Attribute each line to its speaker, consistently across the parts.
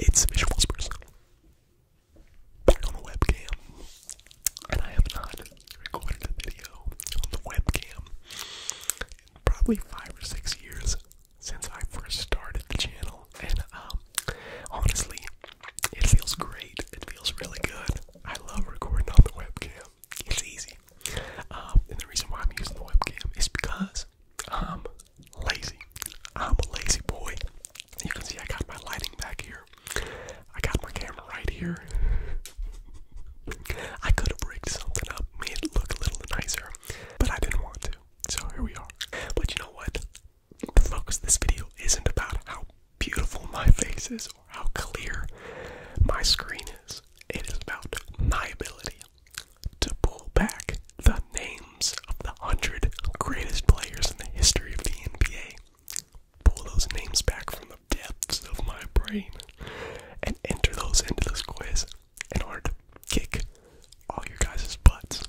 Speaker 1: It's Visual Whispers on the webcam, and I have not recorded a video on the webcam in probably five or six years since I first started the channel, and um, honestly, it feels great. It feels really good. I love recording on the webcam. It's easy. Um, and the reason why I'm using the webcam is because I'm lazy. I'm a lazy boy. You can see I got my lighting back here. I got my camera right here. I could have rigged something up, made it look a little nicer, but I didn't want to. So here we are. But you know what? The focus this video isn't about how beautiful my face is or how clear my screen is. It is about my ability to pull back the name of the 100 greatest players in the history of the NBA. Pull those names back from the depths of my brain and enter those into this quiz in order to kick all your guys' butts.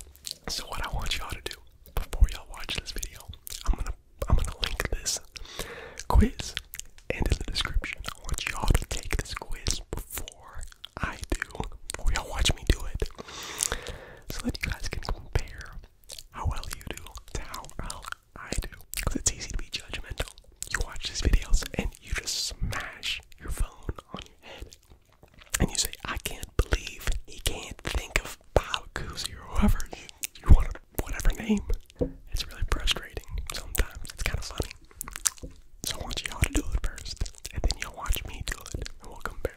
Speaker 1: So what I want y'all to do before y'all watch this video, I'm gonna I'm gonna link this quiz into the description. I want y'all to take this quiz before I do, before y'all watch me do it so that you guys can compare how well you do to how well I do. Because it's easy to be judgmental. You watch these videos and you just smash your phone on your head. And you say, I can't believe he can't think of Bob Cousy or whoever you, want, to, whatever name. It's really frustrating sometimes. It's kind of funny. So I want y'all to do it first, and then you will watch me do it, and we'll compare.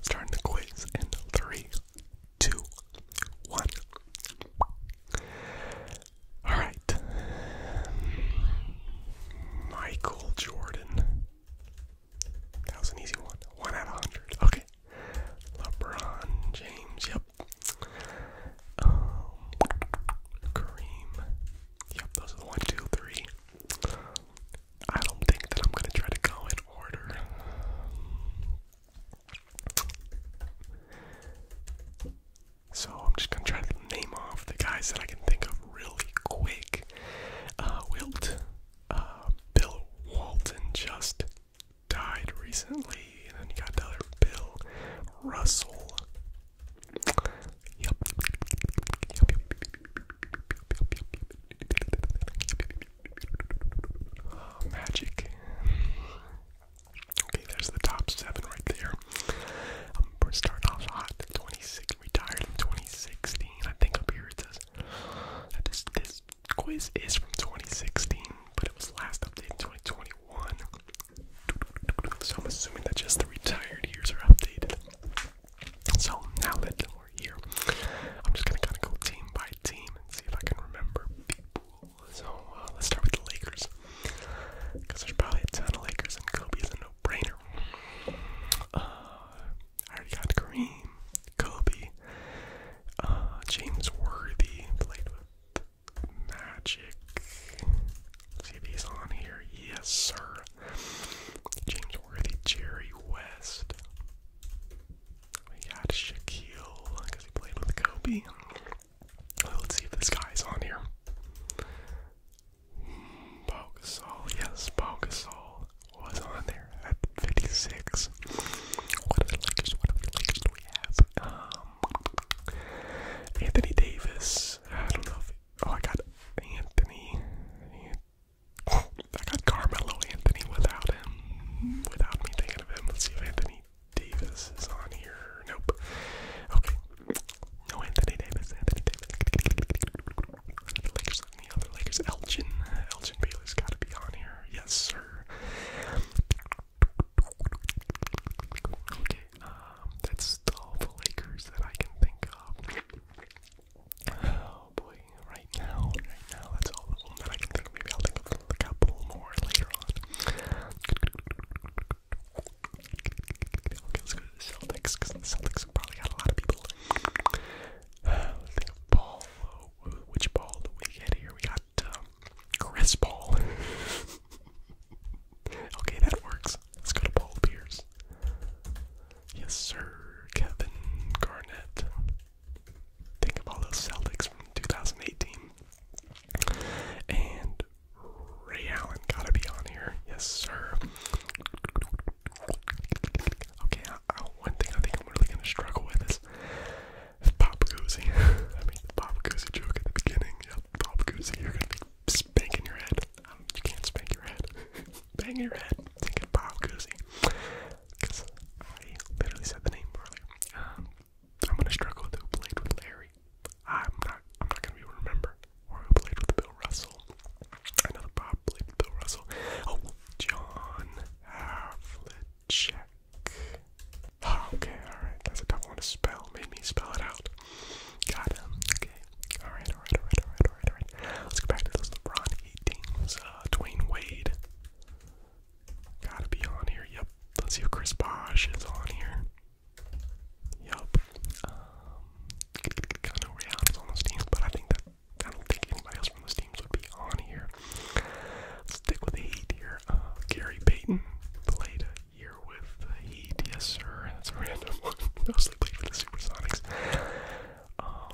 Speaker 1: Starting the quiz in three, two, one. All right, Michael Jordan. That was an easy one. One out of hundred. Okay. LeBron James. Yep. Um, Kareem. Yep. Those are the one, two, three. I don't think that I'm gonna try to go in order. So I'm just gonna try to name off the guys that I can think of really quick. Uh, Wilt, uh, Bill Walton just died recently, and then you got the other Bill Russell. Magic. Okay, there's the top seven right there. Um, we're starting off hot. 26 retired in 2016. I think up here it says that this this quiz is from 2016, but it was last updated in 2021. So I'm assuming that just the retired years are updated. So now that we're here, I'm just gonna kind of go team by team and see if I can remember people. So uh, let's start with the Lakers, because there's probably a ton of Lakers, and Kobe is a no-brainer. Uh, I already got Kareem, Kobe, uh, James Worthy played with Magic. see if he's on here. Yes, sir. James Worthy, Jerry West, we got Shaquille because he played with Kobe. Let's see if this guy's on here. Pau yes, Pau was on there at 56. What other Lakers? What other Lakers do we have? Um, Anthony Davis. I don't know if. Oh, I got Anthony. I got Carmelo Anthony without him, without me thinking of him. Let's see if Anthony Davis is on here. Nope. Okay. No Anthony Davis. Anthony Davis. Lakers and other Lakers. Elgin. Elgin Baylor's got to be on here. Yes, sir. Okay. Um, that's all the Lakers that I can think of. Oh boy, right now, right now, that's all of them I can think Maybe I'll think of a couple more later on. Okay, let's go to the Celtics, because the Celtics probably got a lot of people. let's think of Paul. which ball do we get here? We got um, Chris Paul. okay, that works. Let's go to Paul Pierce. Yes, sir, Kevin Garnett. Think of all those Celtics from 2018. And Ray Allen gotta be on here. Yes, sir. Okay, one thing I think I'm really gonna struggle with is Pop Goosey. I mean, the Pop Goosey joke at the beginning. Yeah, Pop Goosey, you're gonna be spanking your head. Um, you can't spank your head. banging your head thinking Bob Cousy. Because I literally said the name earlier. Um, I'm gonna struggle with who with Larry. I'm not. I'm not gonna be able to remember. Or who played with Bill Russell? I know that Bob played with Bill Russell. Oh, John Havlicek. Oh, okay, all right. That's a tough one to spell. Made spell it out. Got him. Alright, alright, alright, alright, alright, alright. Let's go back to those LeBron 8 teams. Uh, Dwayne Wade. Gotta be on here, yep. Let's see if Chris Bosch is on here. Yep. Um, I know on those teams, but I think that I don't think anybody else from those teams would be on here. stick with Heat here. Uh, Gary Payton played a year with the Heat. Yes, sir. That's a random one. Mostly played for the Supersonics. Um,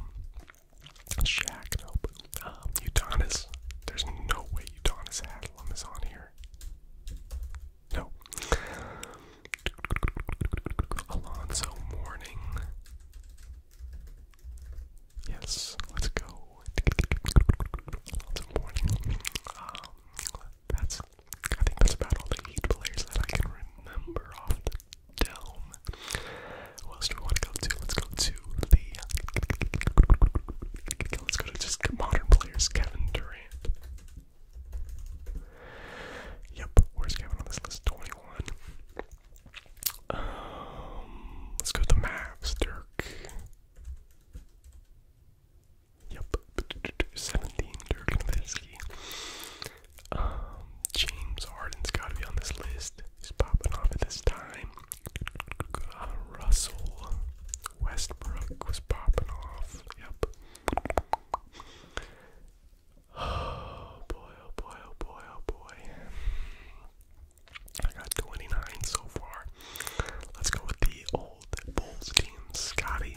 Speaker 1: Shaq, nope. Um, Udonis. There's no way Udonis Haslam is on here. No. Alonzo Mourning. Yes, let's go. Alonzo Mourning. Um, that's. I think that's about all the eight players that I can remember off the dome. What else do we want to go to? Let's go to the. Let's go to just modern players. Kevin Durant. Yep. Where's Kevin on this list? Twenty-one. Um, let's go to the Mavs. Dirk. Yep. Seventeen. Dirk Nowitzki. Um, James Harden's got to be on this list. He's popping off at this time. Uh, Russell Westbrook was popping off. Yep. Oh boy, oh boy, oh boy, oh boy. I got 29 so far. Let's go with the old Bulls team. Scotty,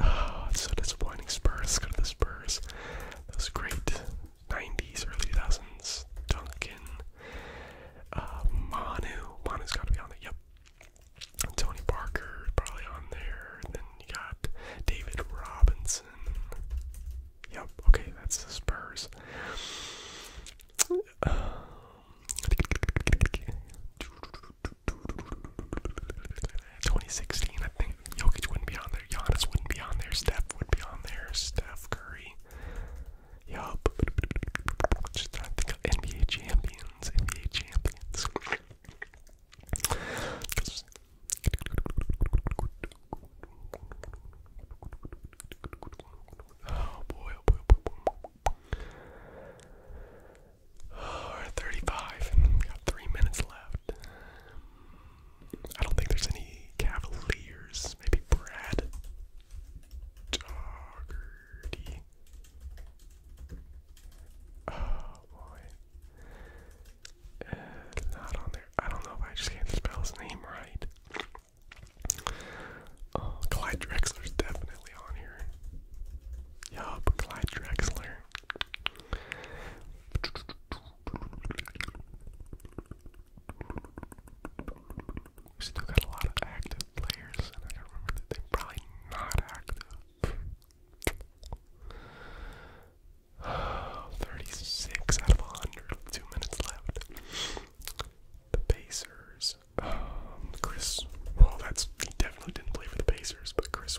Speaker 1: Oh, it's so disappointing. Spurs, go to the Spurs. Those great 90s, early 2000s. Duncan, uh, Manu. Manu's got to be on there. Yep. And Tony Parker probably on there. And then you got David Robinson. Yep. Okay, that's the Spurs. Um, 2016, I think Jokic wouldn't be on there. Giannis wouldn't be on there. Steph would be on there. Steph Curry. Yup. Just think of NBA champions. NBA champions. oh boy, oh boy. Oh, oh, Oh, we're 35 got three minutes left. I don't think there's any Cavaliers. Maybe Brad Doggerty. Oh boy. Eh, not on there. I don't know I just can't spell his name right. Oh, Clyde Drexler's definitely on here. Yup, Clyde Drexler. We still got a lot of active players, and I remember that they're probably not active. 36 out of 100, two minutes left. The Pacers. Um, Chris, well, that's, definitely didn't play for the Pacers, but Chris.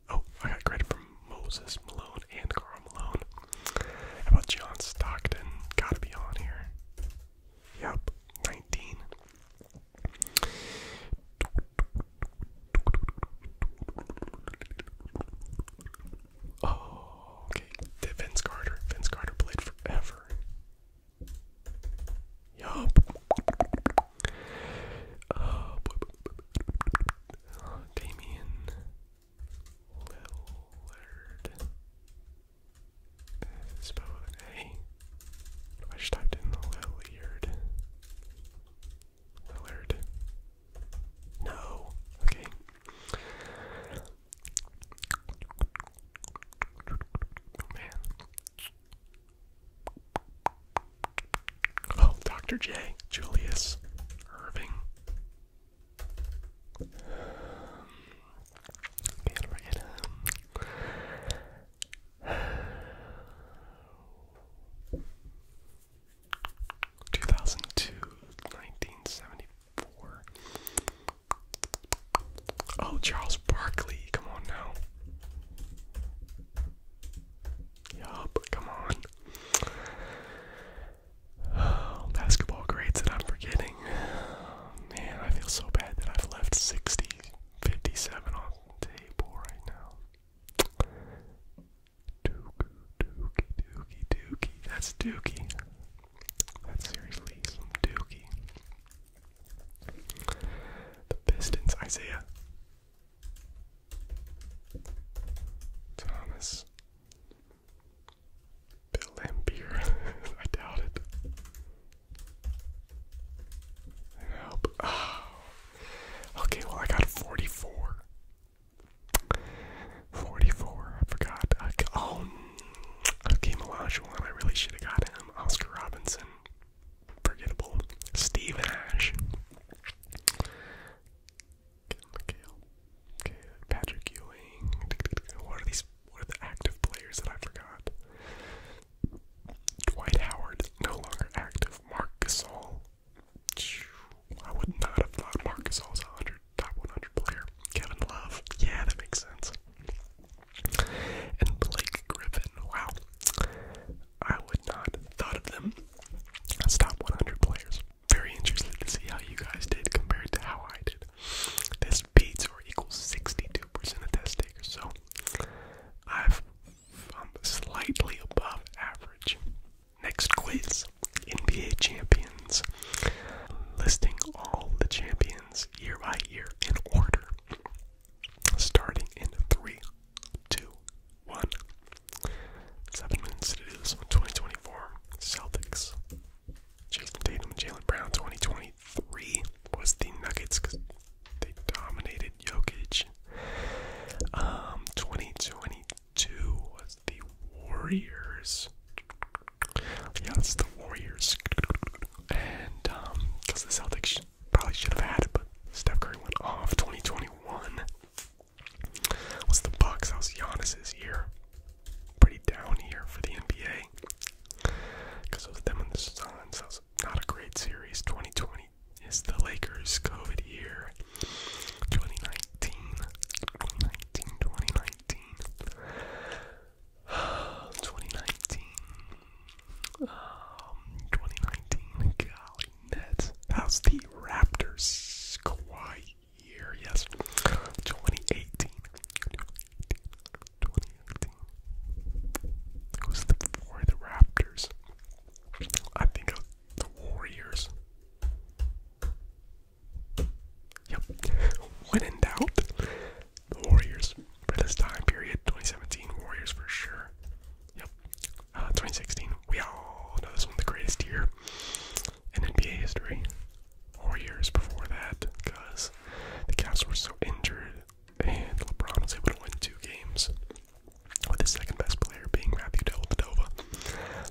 Speaker 1: Oh, I got credit from Moses Malone and Carl Malone. How about John Stockton? Gotta be on here. Yep, 19. Oh, okay. Vince Carter. Vince Carter played forever. Yup. Damian Lillard. spelled A. I just typed in the Lillard. Lillard. No. Okay. Oh, Oh, Dr. J, Julius Irving. can't forget him. 2002, Oh, Charles Barkley, come on now. Yup, come on. basketball grades that I'm forgetting. Man, I feel so bad that I've left 60, 57 on the table right now. Dookie, dookie, dookie, dookie. That's dookie. That's seriously some dookie. The Pistons, Isaiah Thomas Bill Lampier. I doubt it. Nope. Ah. Okay, well, I got 44. 44, I forgot. Oh, okay, Melanchon, I really should have got him. Oscar Robinson, forgettable. Steve Ash, Kale, okay, Patrick Ewing. What are these? What are the active players that I forgot? Dwight Howard, no longer active. Mark Gasol. I would not have thought Mark Gasol's a hundred top 100 player. Kevin Love. Yeah, that makes sense. And Blake Griffin. Wow. I would not have thought of them as top 100 players. Very interested to see how you guys did compared to how I did. This beats or equals 62% of test takers, so I've, I'm um, slightly above average. Next quiz NBA champions. Listing all the champions year by year in order. Starting in 3 two, one. Seven minutes to do this one. 2024 Celtics. Jason Tatum and Jalen Brown. 2023 was the Nuggets because they dominated Jokic. Um, 2022 was the Warriors. Yeah, it's the Warriors. And um, because the Celtics probably should have had it, but Steph Curry went off. 2021 was the Bucks. That was Giannis's year. Pretty down here for the NBA because it was them and the Suns. That was not a great series. 2020 is the Lakers' COVID year. 2019, 2019, Nets. How's the Raptors? Kawhi here? yes. 2018. 2018. Who's the for the Raptors? I think the Warriors. Yep. when in doubt, the Warriors for this time period, 2017 Warriors for sure. Yep. Uh, 2016. We all know this one the greatest year in NBA history. Four years before that, because the Cavs were so injured and LeBron was able to win two games. With the second best player being Matthew Dellavedova.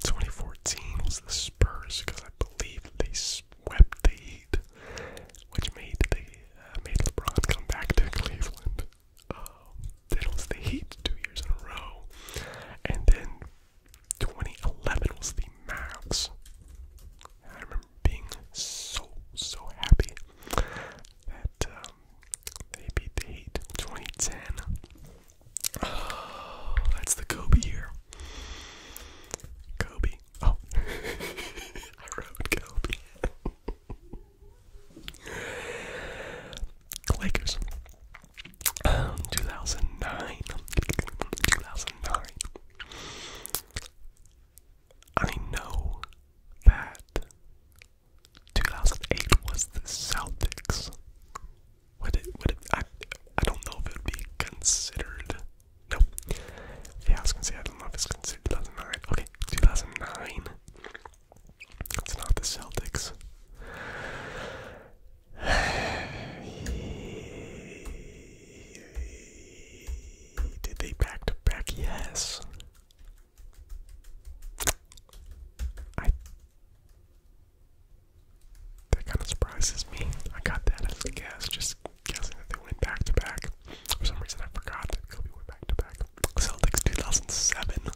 Speaker 1: 2014 was the Spurs because I believe they swept the Heat, which made the uh, made LeBron come back to Cleveland. Um, they lost the Heat two years in a row, and then 2011 was the Max. I remember being so so happy that um, they beat the Heat. 2010. Oh, that's the Kobe year. Kobe. Oh, I wrote Kobe. Lakers. 2009. 2009. I know that 2008 was the Celtics. Would it, would it, I, I don't know if it would be considered. No. Yeah, I was going to say, I don't know if it's considered 2009. Okay, 2009. It's not the Celtics. Did they back to back? Yes. I that kind of surprises me. I got that as a guess, just guessing that they went back to back. For some reason, I forgot that Kobe went back to back. Celtics 2007.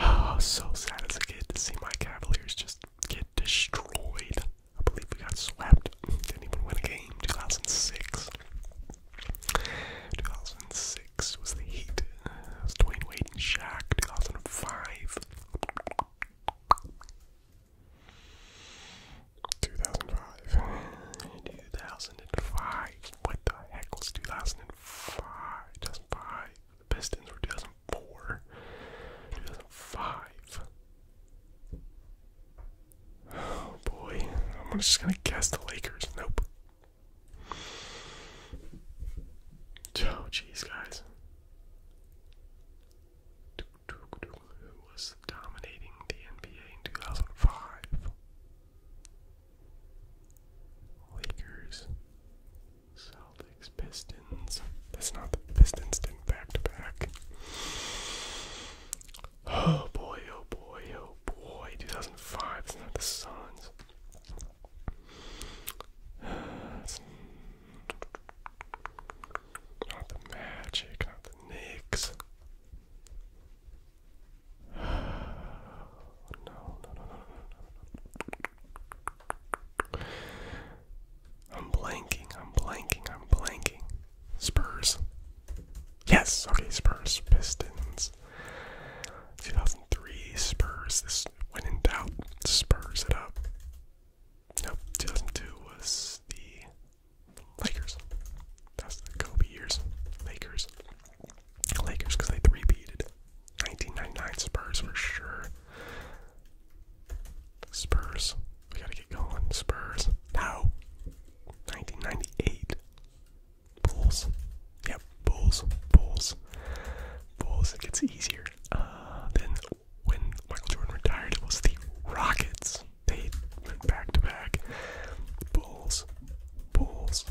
Speaker 1: Oh, so sad as a kid to see my Cavaliers just get destroyed. I believe we got swept. Didn't even win a game. 2006. 2006 was the Heat. it was Dwayne Wade and Shaq. 2005. 2005. 2005. What the heck was 2005? 2005, 2005. Pistons were 2004, 2005. Oh boy, I'm just gonna guess the Lakers. Nope. Oh jeez, guys. Who was dominating the NBA in 2005? Lakers, Celtics, Pistons. That's not the Pistons didn't back to back. Oh boy, oh boy, oh boy. 2005, it's not the Suns. not the Magic, not the Knicks. No, no, no, no, I'm blanking, I'm blanking, I'm blanking. Spurs. Yes, okay, Spurs, Pistons. 2003 Spurs. This when in doubt, Spurs it up. Nope, 2002 was the Lakers. That's the Kobe years. Lakers. Lakers because they three beated. 1999 Spurs for sure. Spurs. We gotta get going. Spurs. now. 1998. Bulls. Yep. Bulls. Bulls. Bulls. It gets easier. Uh, then when Michael Jordan retired, it was the Rockets. They went back to back. Bulls. Bulls.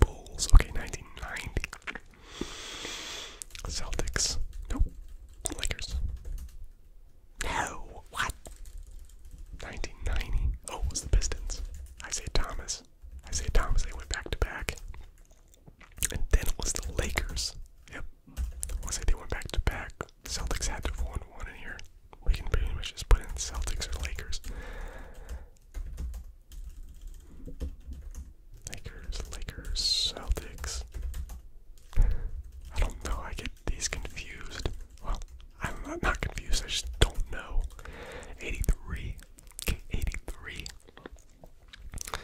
Speaker 1: Bulls. Okay, 1990. Celtics. Nope. Lakers. No. What? 1990. Oh, it was the Pistons. Isaiah Thomas. Isaiah Thomas. They went back to back. And then it was the Lakers. Yep. I want to say they went back to back Celtics had to have won one in here. We can pretty much just put in Celtics or Lakers. Lakers, Lakers, Celtics. I don't know. I get these confused. Well, I'm not, confused. I just don't know. 83. Okay,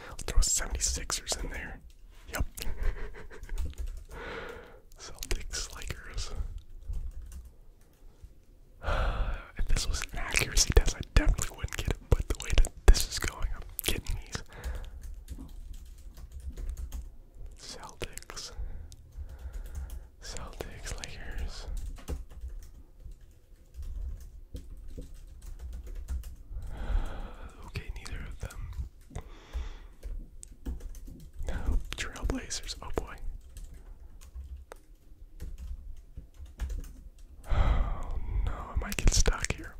Speaker 1: I'll throw 76ers in there. Yep. Celtics Lakers. if this was an accuracy test, I definitely wouldn't get it, but the way that this is going, I'm getting these. Celtics. Celtics Lakers. Okay, neither of them. Trailblazers, oh boy. Oh no, I might get stuck here.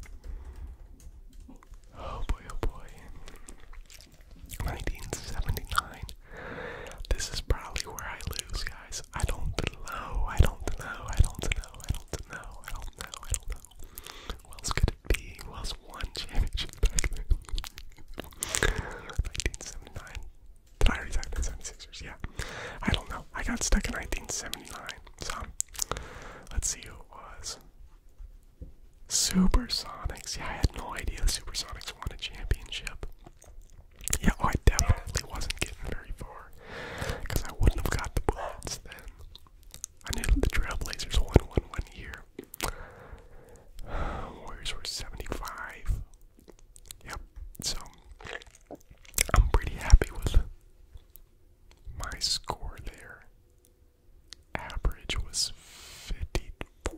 Speaker 1: Oh boy, oh boy. 1979. This is probably where I lose, guys. I don't know, I don't know, I don't know, I don't know, I don't know, I don't know. Who else could it be? Who one championship. back then. 1979. Did I already Yeah. I don't know. I got stuck in 1979. So, let's see who it was. Supersonics. Yeah, I had no idea the Supersonics won a championship. Yeah, oh, I definitely wasn't getting very far. Because I wouldn't have got the bullets then. I knew the Trailblazers won one one year. Warriors were 75. Yep, so I'm pretty happy with my score there. Average was 54.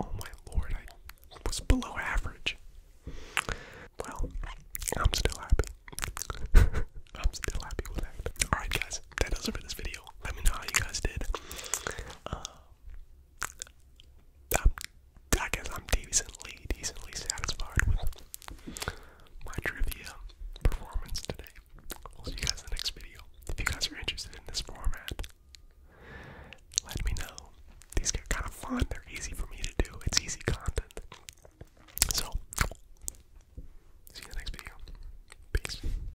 Speaker 1: Oh my lord, I was below average. Well, I'm still happy. I'm still happy with that. Alright, guys, that does it for this video. Let me know how you guys did. Um, I'm, guess I'm decently, decently satisfied with my trivia performance today. see you guys in the next video. If you guys are interested in this format, let me know. These get kind of fun. They're easy for me to do. It's easy content. So, see you in the next video. Peace.